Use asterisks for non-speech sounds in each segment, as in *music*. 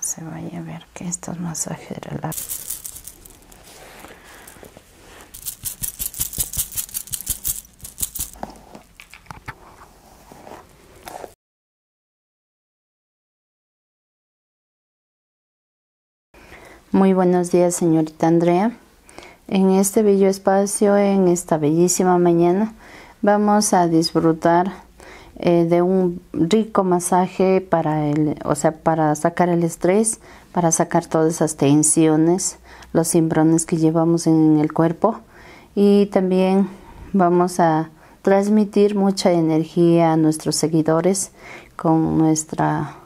se vaya a ver que estos masajes relajan. Muy buenos días, señorita Andrea. En este bello espacio, en esta bellísima mañana, vamos a disfrutar eh, de un rico masaje para el, o sea, para sacar el estrés, para sacar todas esas tensiones, los cimbrones que llevamos en el cuerpo y también vamos a transmitir mucha energía a nuestros seguidores con nuestra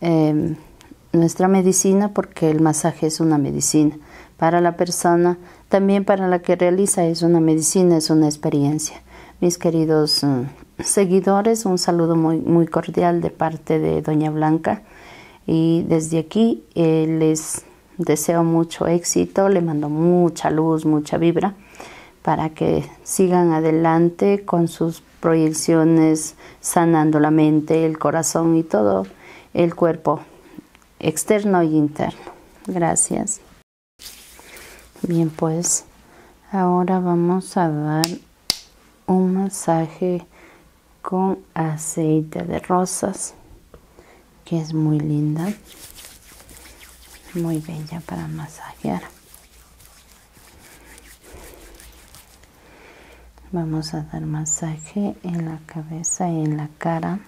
em, nuestra medicina porque el masaje es una medicina para la persona también para la que realiza es una medicina, es una experiencia. Mis queridos mm, seguidores, un saludo muy, muy cordial de parte de Doña Blanca y desde aquí eh, les deseo mucho éxito, le mando mucha luz, mucha vibra para que sigan adelante con sus proyecciones, sanando la mente, el corazón y todo el cuerpo externo y interno. Gracias. Bien, pues ahora vamos a dar un masaje con aceite de rosas, que es muy linda, muy bella para masajear. Vamos a dar masaje en la cabeza y en la cara.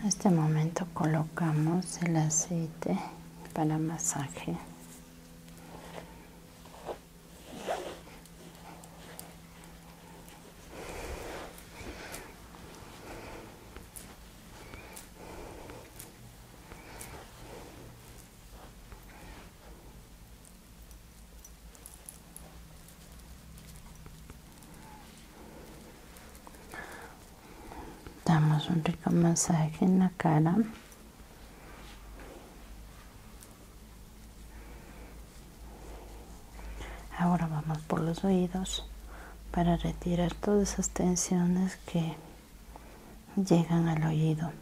En este momento colocamos el aceite para masaje. Damos un rico masaje en la cara. Ahora vamos por los oídos para retirar todas esas tensiones que llegan al oído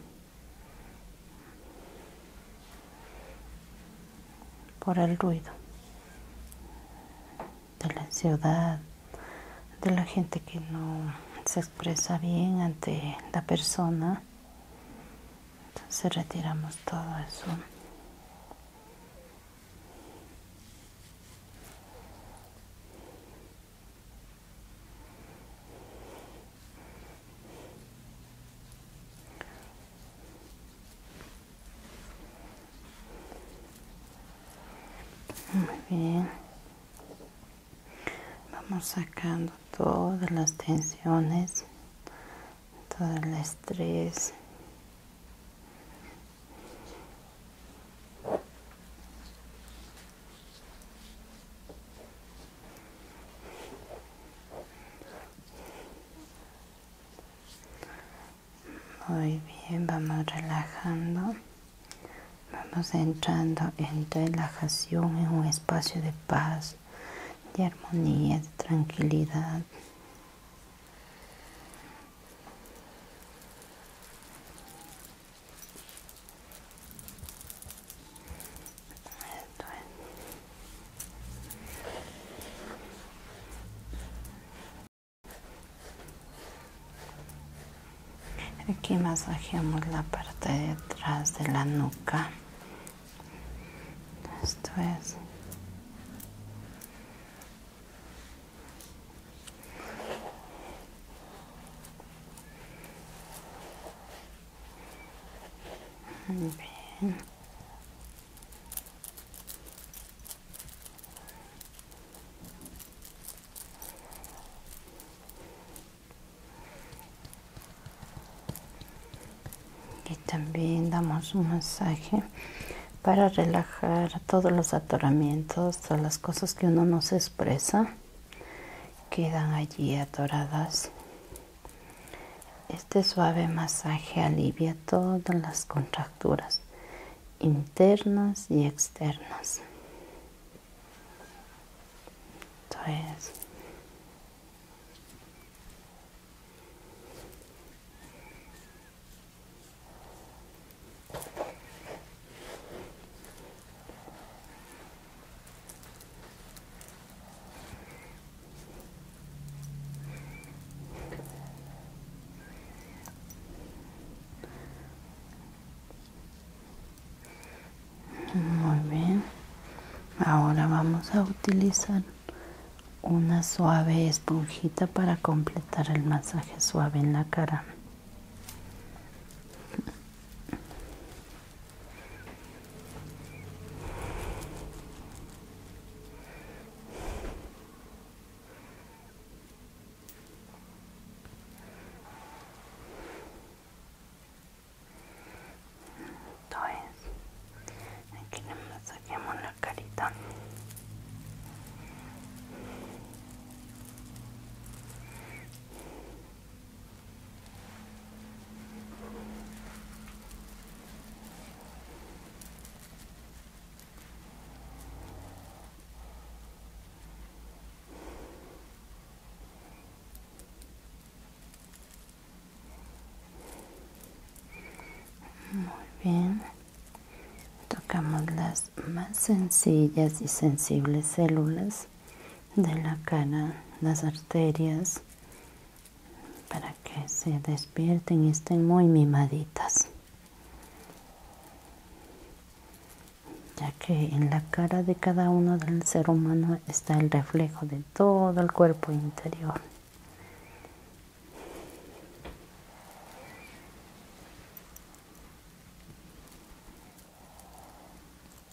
por el ruido de la ciudad, de la gente que no se expresa bien ante la persona. Entonces retiramos todo eso. Muy bien. Vamos sacando todas las tensiones, todo el estrés. Muy bien, vamos relajando. Vamos entrando en relajación, en un espacio de paz, de armonía, de tranquilidad. Aquí masajeamos la parte de atrás de la nuca. Esto es. Y también damos un masaje para relajar todos los atoramientos, todas las cosas que uno no se expresa, quedan allí atoradas. Este suave masaje alivia todas las contracturas internas y externas. Muy bien. Ahora vamos a utilizar una suave esponjita para completar el masaje suave en la cara. Entonces, aquí le masajeamos la carita. Muy bien. Tocamos las más sencillas y sensibles células de la cara, las arterias, para que se despierten y estén muy mimaditas. Ya que en la cara de cada uno del ser humano está el reflejo de todo el cuerpo interior.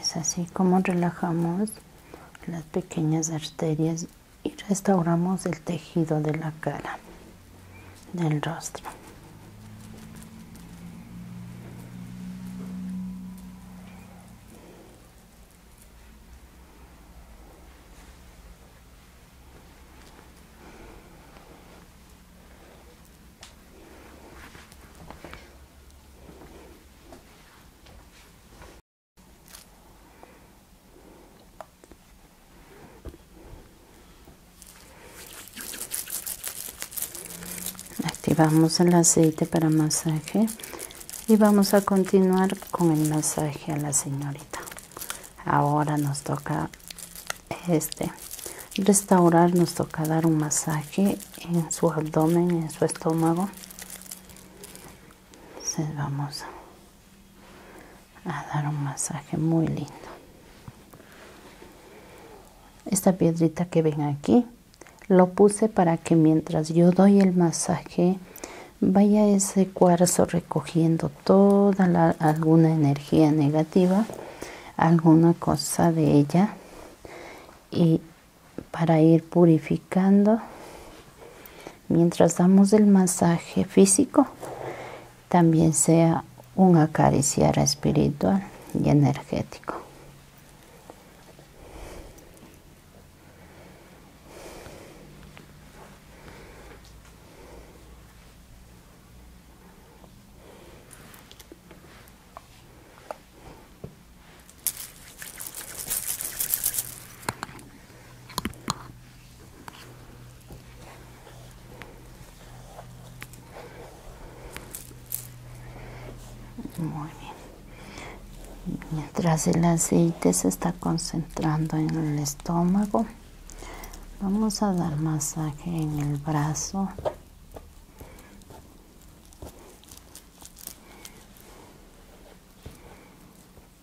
Es así como relajamos las pequeñas arterias y restauramos el tejido de la cara, del rostro. Activamos el aceite para masaje y vamos a continuar con el masaje a la señorita. Ahora nos toca este restaurar, nos toca dar un masaje en su abdomen, en su estómago. Entonces vamos a dar un masaje muy lindo. Esta piedrita que ven aquí, lo puse para que mientras yo doy el masaje, vaya ese cuarzo recogiendo toda la, alguna energía negativa, alguna cosa de ella y para ir purificando mientras damos el masaje físico, también sea un acariciar espiritual y energético. Muy bien. Mientras el aceite se está concentrando en el estómago, vamos a dar masaje en el brazo.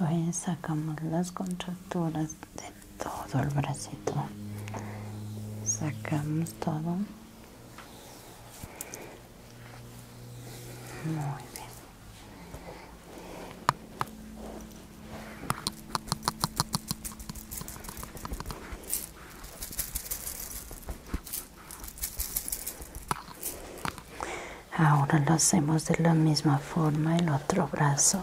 entonces sacamos las contracturas de todo el bracito sacamos todo muy bien Ahora lo hacemos de la misma forma el otro brazo.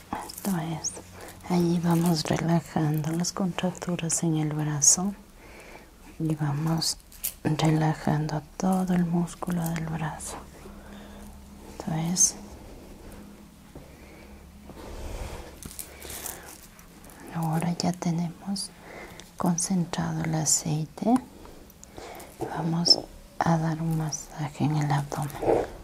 esto allí vamos relajando las contracturas en el brazo y vamos relajando todo el músculo del brazo entonces ahora ya tenemos concentrado el aceite vamos a dar un masaje en el abdomen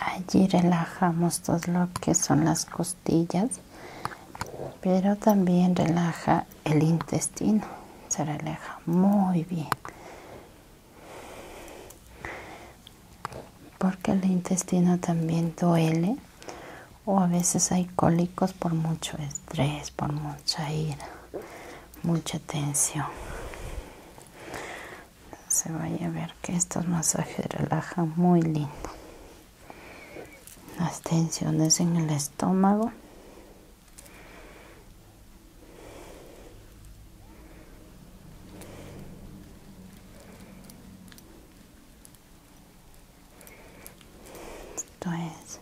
Allí relajamos todo lo que son las costillas, pero también relaja el intestino. Se relaja muy bien. Porque el intestino también duele o a veces hay cólicos por mucho estrés, por mucha ira, mucha tensión se vaya a ver que estos masajes relajan muy lindo las tensiones en el estómago esto es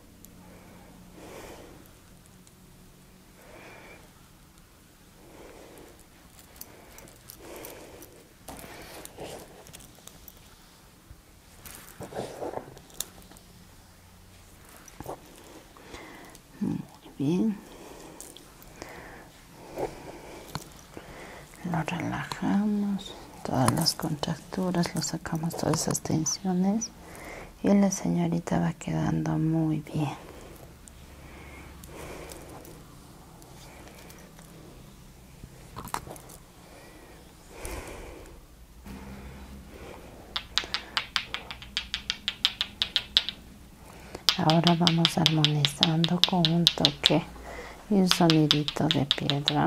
muy bien. Lo relajamos, todas las contracturas, lo sacamos todas esas tensiones y la señorita va quedando muy bien. Ahora vamos armonizando con un toque y un sonidito de piedra.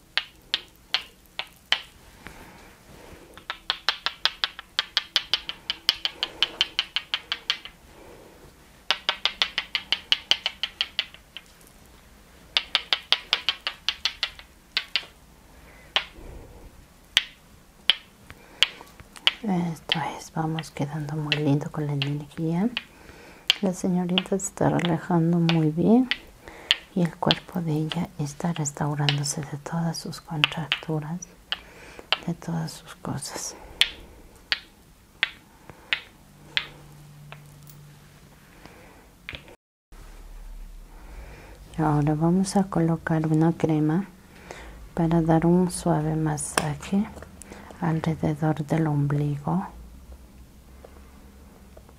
esto es vamos quedando muy lindo con la energía la señorita se está relajando muy bien y el cuerpo de ella está restaurándose de todas sus contracturas, de todas sus cosas. Ahora vamos a colocar una crema para dar un suave masaje alrededor del ombligo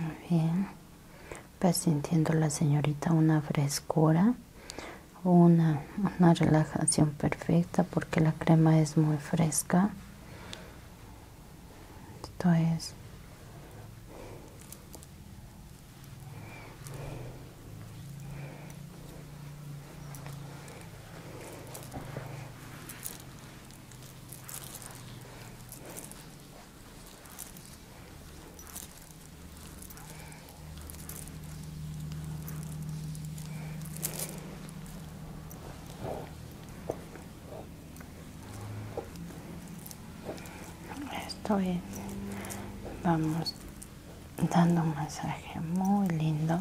Muy bien. pues sintiendo la señorita una frescura, una, una relajación perfecta porque la crema es muy fresca. Esto es esto es vamos dando un masaje muy lindo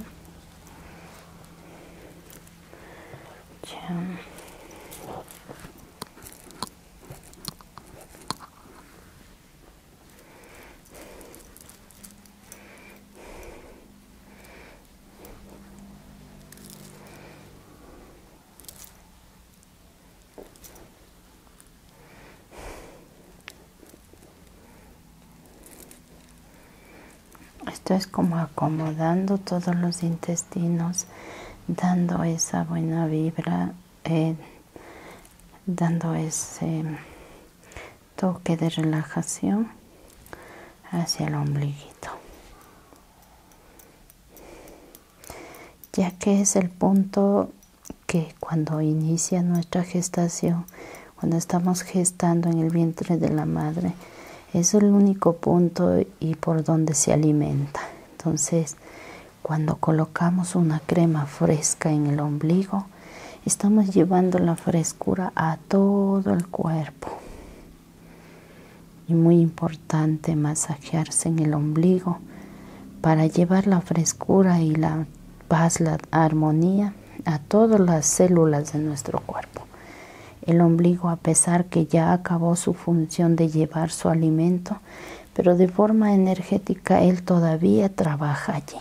esto es como acomodando todos los intestinos, dando esa buena vibra, eh, dando ese toque de relajación hacia el ombliguito. Ya que es el punto que cuando inicia nuestra gestación, cuando estamos gestando en el vientre de la madre, es el único punto y por donde se alimenta. Entonces, cuando colocamos una crema fresca en el ombligo, estamos llevando la frescura a todo el cuerpo. Y muy importante masajearse en el ombligo para llevar la frescura y la paz, la armonía a todas las células de nuestro cuerpo. El ombligo, a pesar que ya acabó su función de llevar su alimento, pero de forma energética él todavía trabaja allí.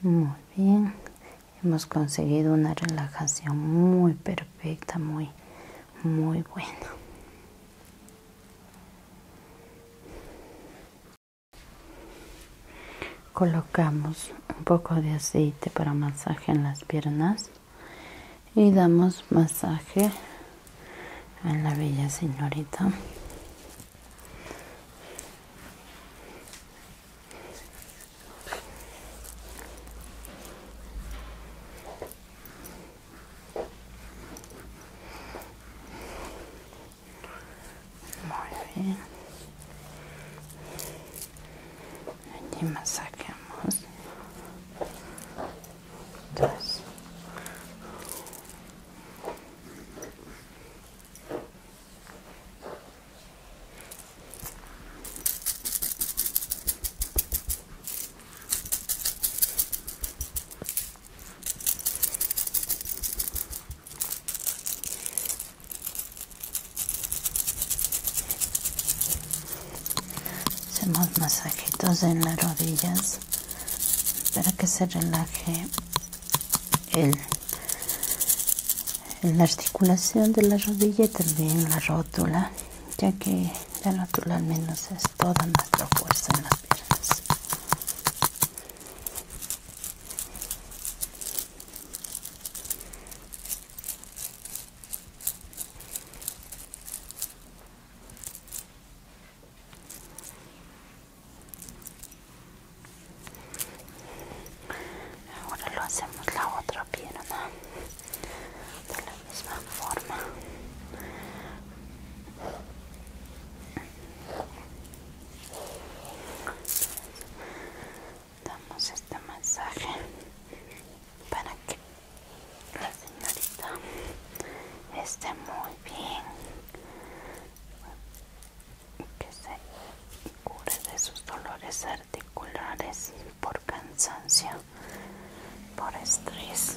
Muy bien, hemos conseguido una relajación muy perfecta, muy, muy buena. Colocamos un poco de aceite para masaje en las piernas y damos masaje a la bella señorita. Muy bien. aquí más saquemos dos. Hacemos masajitos en las rodillas para que se relaje el, la articulación de la rodilla y también la rótula, ya que la rótula al menos es toda nuestra fuerza en las piernas. Ahora lo hacemos la otra pierna de la misma forma damos este masaje para que la señorita esté muy bien que se cure de sus dolores articulares por cansancio por estrés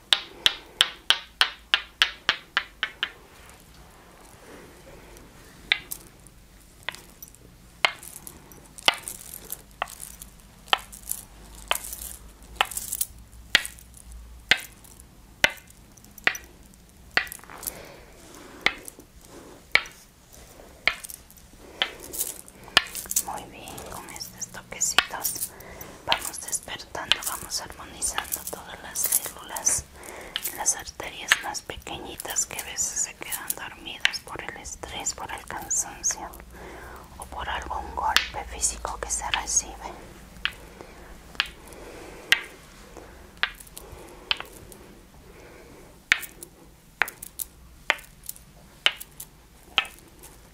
Muy bien, con estos toquecitos vamos a esperar tanto vamos armonizando todas las células, las arterias más pequeñitas que a veces se quedan dormidas por el estrés, por el cansancio o por algún golpe físico que se recibe.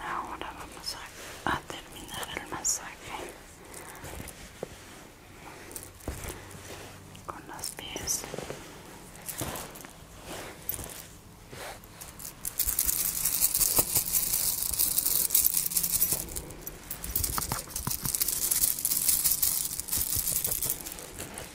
Ahora vamos a, terminar el masaje con los pies.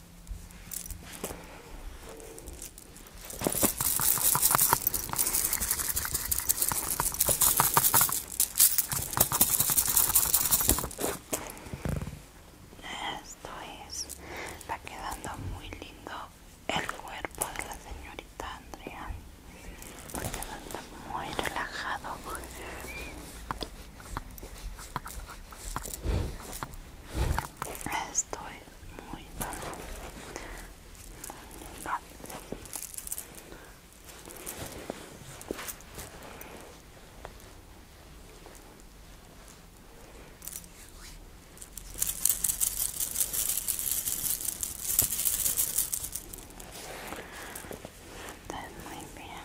Esto es, está quedando muy lindo el cuerpo de la señorita Andrea, porque está muy relajado es muy mal. está muy bien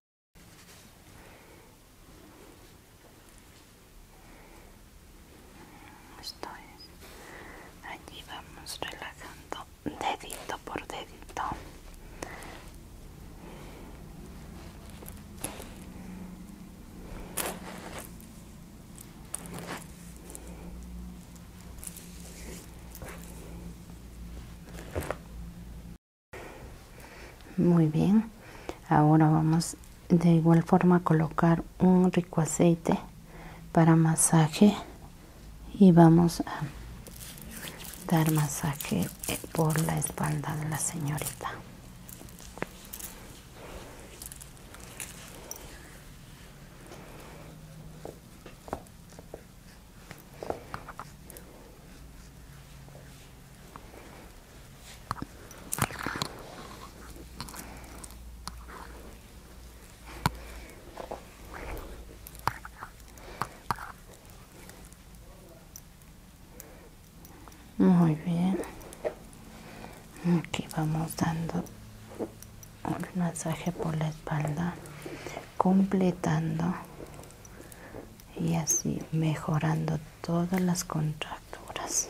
Estoy. Allí vamos relajando dedito por dedito. Muy bien, ahora vamos de igual forma a colocar un rico aceite para masaje y vamos a dar masaje por la espalda de la señorita. Muy bien. Aquí vamos dando un masaje por la espalda, completando y así mejorando todas las contracturas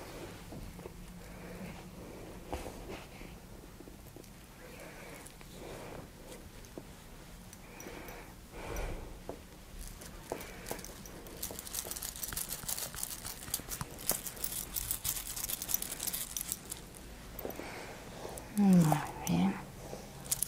muy bien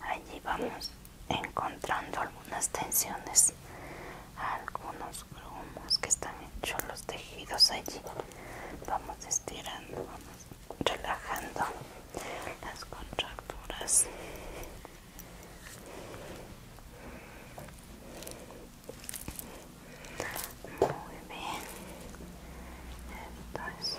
Allí vamos encontrando algunas tensiones, algunos grumos que están hechos los tejidos allí. Vamos estirando, vamos relajando las contracturas. Muy bien. Entonces,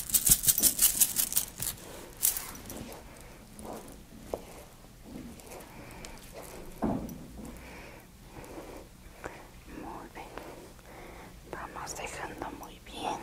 Muy bien. Vamos dejando muy bien.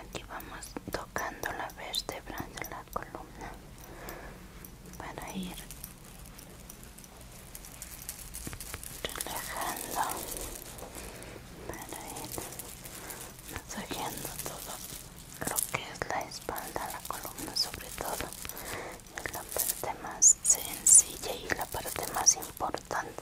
Aquí vamos tocando la vértebra de la columna para ir relajando, para ir masajeando todo lo que es la espalda, la columna sobre todo, la parte más sencilla y la parte más importante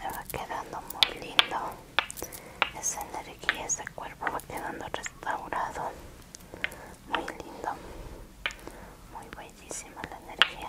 Me va quedando muy lindo. Esa energía, ese cuerpo va quedando restaurado muy lindo muy bellísima la energía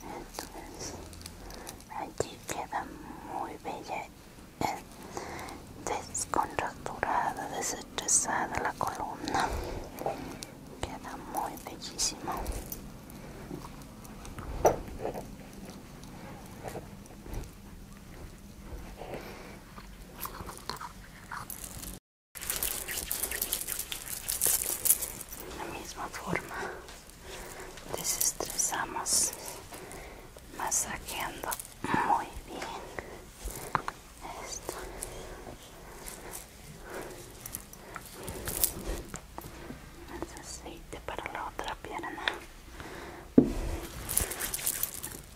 Entonces, allí queda muy bella, eh, descontracturada, desestresada la columna. Queda muy bellísimo. De la misma forma desestresamos masajeando muy bien esto aceite para la otra pierna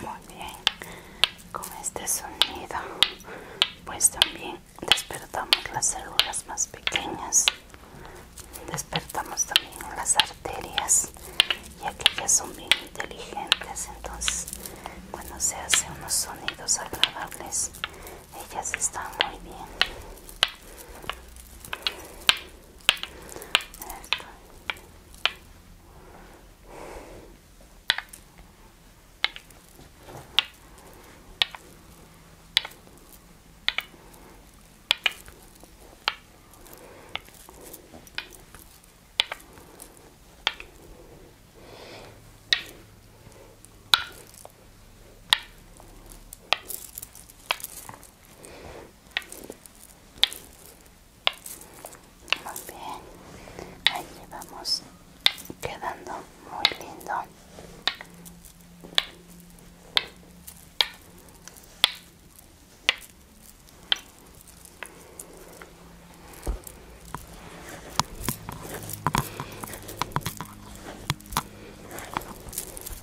Muy bien, con este sonido pues también despertamos las células más pequeñas, despertamos también las arterias, ya que son bien inteligentes, entonces bueno se hacen unos sonidos agradables ellas están muy bien muy bien, ahí vamos quedando muy lindo.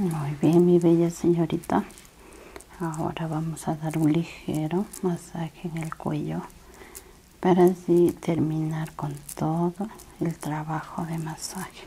Muy bien, mi bella señorita ahora vamos a dar un ligero masaje en el cuello para así terminar con todo el trabajo de masaje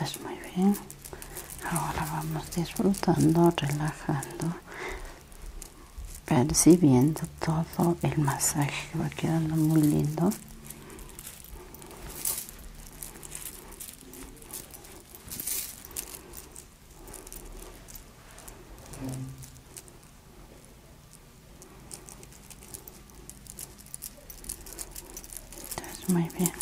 es pues muy bien. Ahora vamos disfrutando, relajando percibiendo todo el masaje va quedando muy lindo muy bien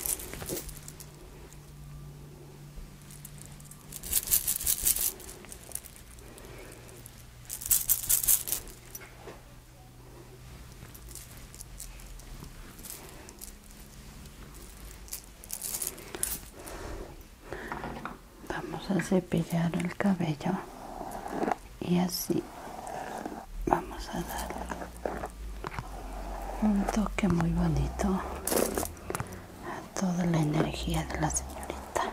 Vamos a cepillar el cabello y así vamos a dar un toque muy bonito a toda la energía de la señorita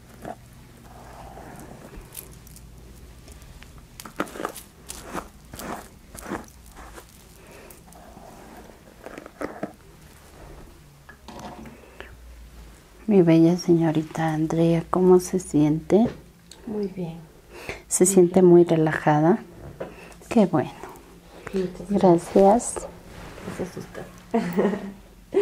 Mi bella señorita Andrea, ¿cómo se siente? Muy bien. ¿Se siente muy relajada? Qué bueno. Gracias. *laughs*